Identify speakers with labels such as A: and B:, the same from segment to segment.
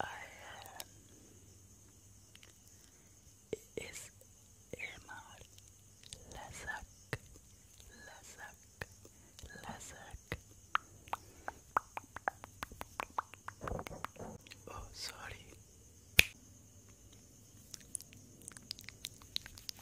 A: I am. Is Irmar Lazak, Lazak, Lazak. Oh, sorry.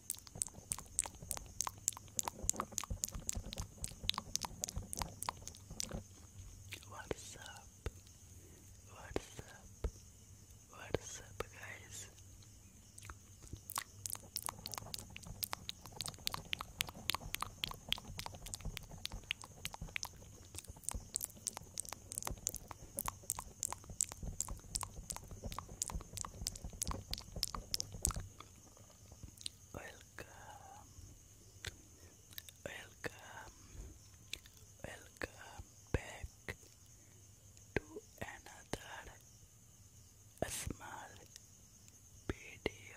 A: What's up? What's up? What's up, guys? Welcome, welcome, welcome back to another small video.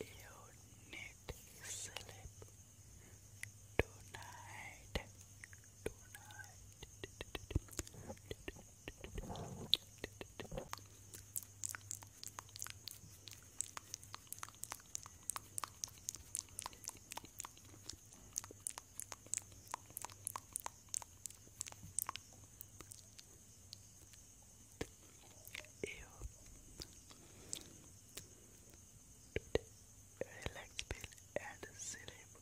A: You need sleep tonight. Tonight you relax feel and sleep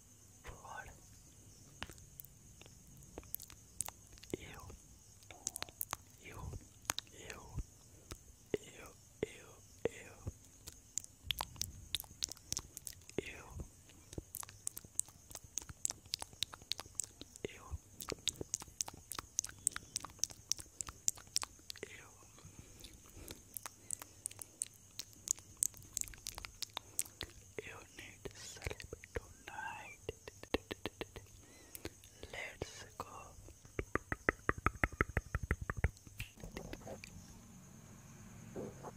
A: for you you you you you you you Eu. Eu. You need sleep tonight. Let's go.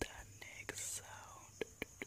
B: the next sound. Good.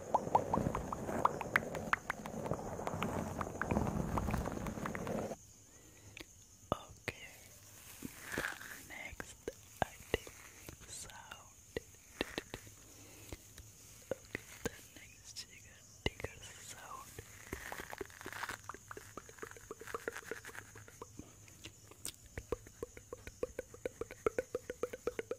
B: Okay, the next I think sound. Okay, the next trigger, trigger sound.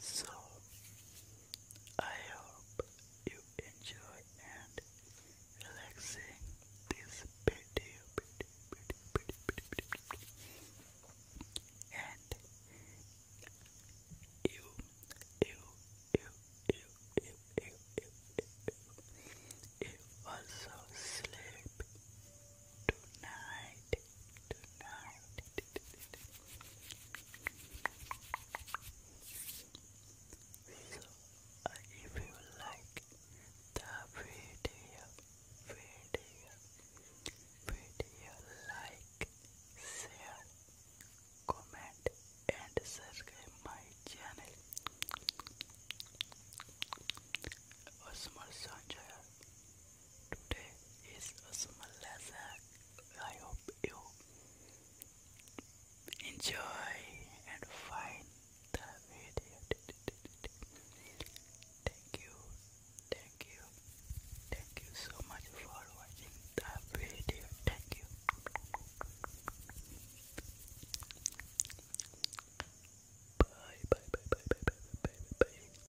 A: So I hope you enjoy and relaxing this video, and you, you, you, you, you, you, you also sleep tonight, tonight. So, if you like the video, video, video, like, share, comment, and subscribe my channel. Osmar Sanjay. Today is a small lesson. I hope you enjoy and find the video. Thank you, thank you, thank you so much for watching the video. Thank you. Bye bye bye bye bye bye bye bye